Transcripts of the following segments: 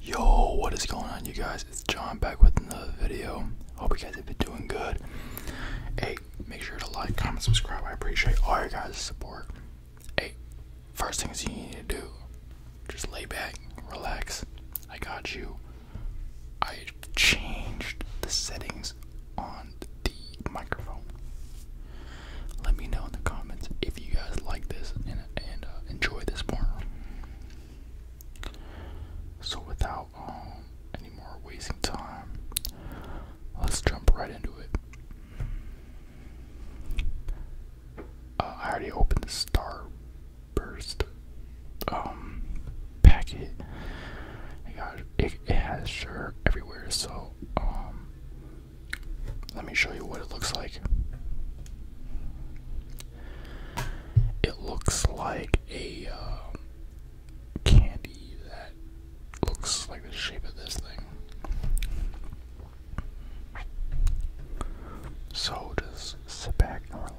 Yo, what is going on, you guys? It's John back with another video. Hope you guys have been doing good. Hey, make sure to like, comment, subscribe. I appreciate all your guys' support. Hey, first things you need to do, just lay back, relax. I got you. I changed the settings on the microphone. Let me know in the comments if you guys like this and uh, enjoy this more. So, without um, any more wasting time, let's jump right into it. Uh, I already opened the Starburst um, packet. It, got, it, it has sure everywhere, so um, let me show you what it looks like. It looks like a um, candy that looks like the shape of this thing. So just sit back and relax.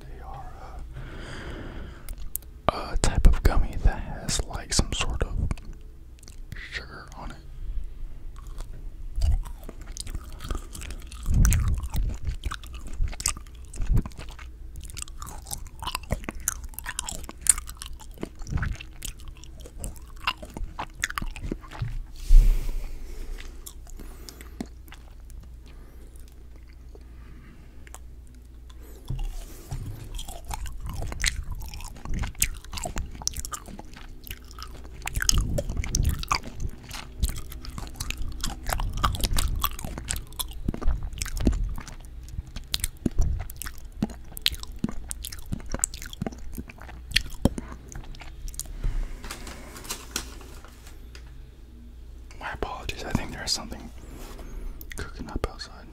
They are uh, a type of gummy that has like some sort of sugar on it. My apologies, I think there's something cooking up outside god.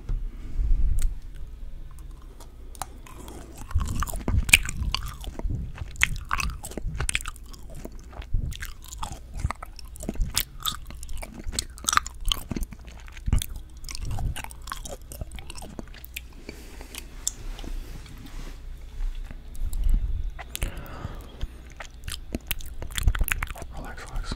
Relax, relax.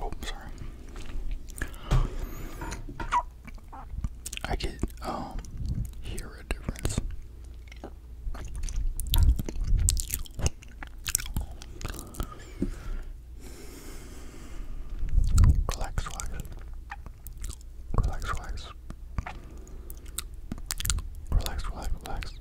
Oh, sorry. I can um hear a difference. Relax, relax. Relax, relax, relax.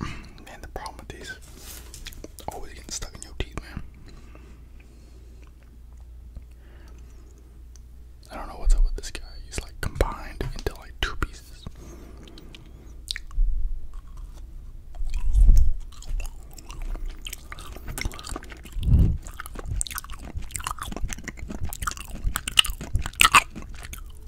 Man, the problem with these always getting stuck in your teeth, man. I don't know what's up with this guy. He's like combined into like two pieces.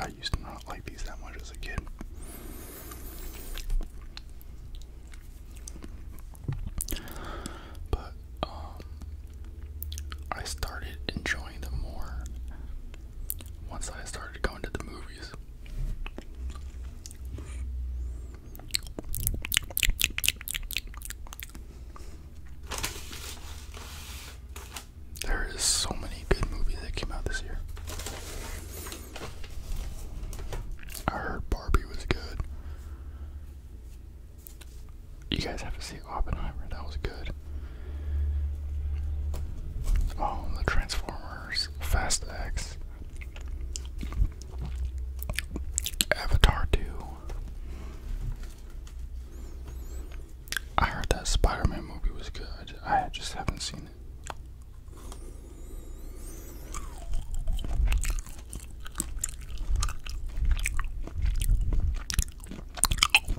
I used to not like these that much as a kid. But um, I started enjoying them more once I started going to the movies. There is so many good movies that came out this year. I heard Barbie was good. You guys have to see Oppenheimer, that was good. Oh, the Transformers, Fast X, Avatar 2. I heard that Spider Man movie was good. I just, I just haven't seen it.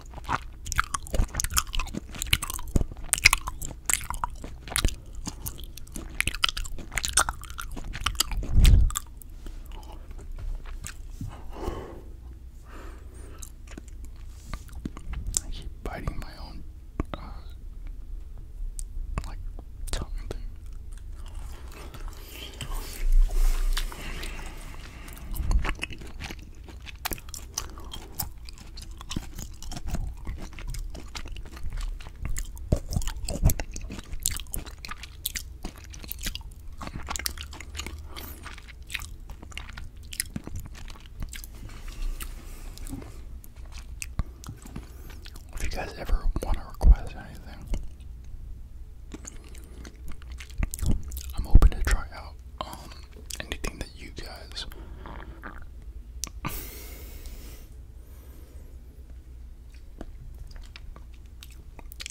I keep biting my own uh, like tongue thing. If you guys ever want to request anything, I'm hoping to try out um, anything that you guys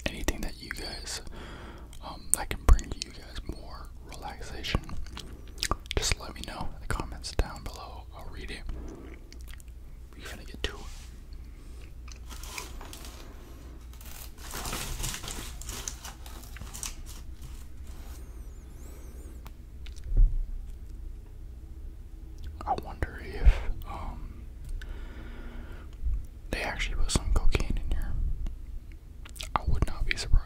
anything that you guys um can bring to you guys more relaxation. Just let me know in the comments down below. I'll read it. We're gonna get to it. I wonder if um, they actually put some cocaine in here. I would not be surprised.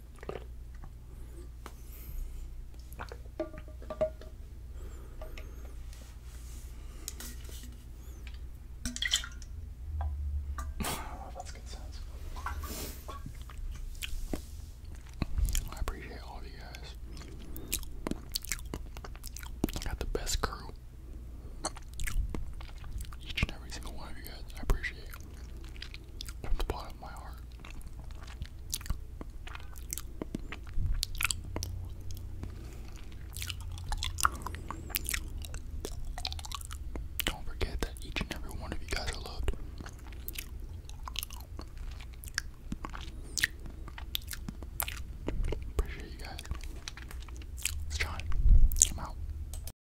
That's good sense. I appreciate all of you guys. I got the best crew. Each and every single one of you guys, I appreciate from the bottom of my heart. Don't forget that each and every one of you guys are loved. Appreciate you guys. It's John. I'm out.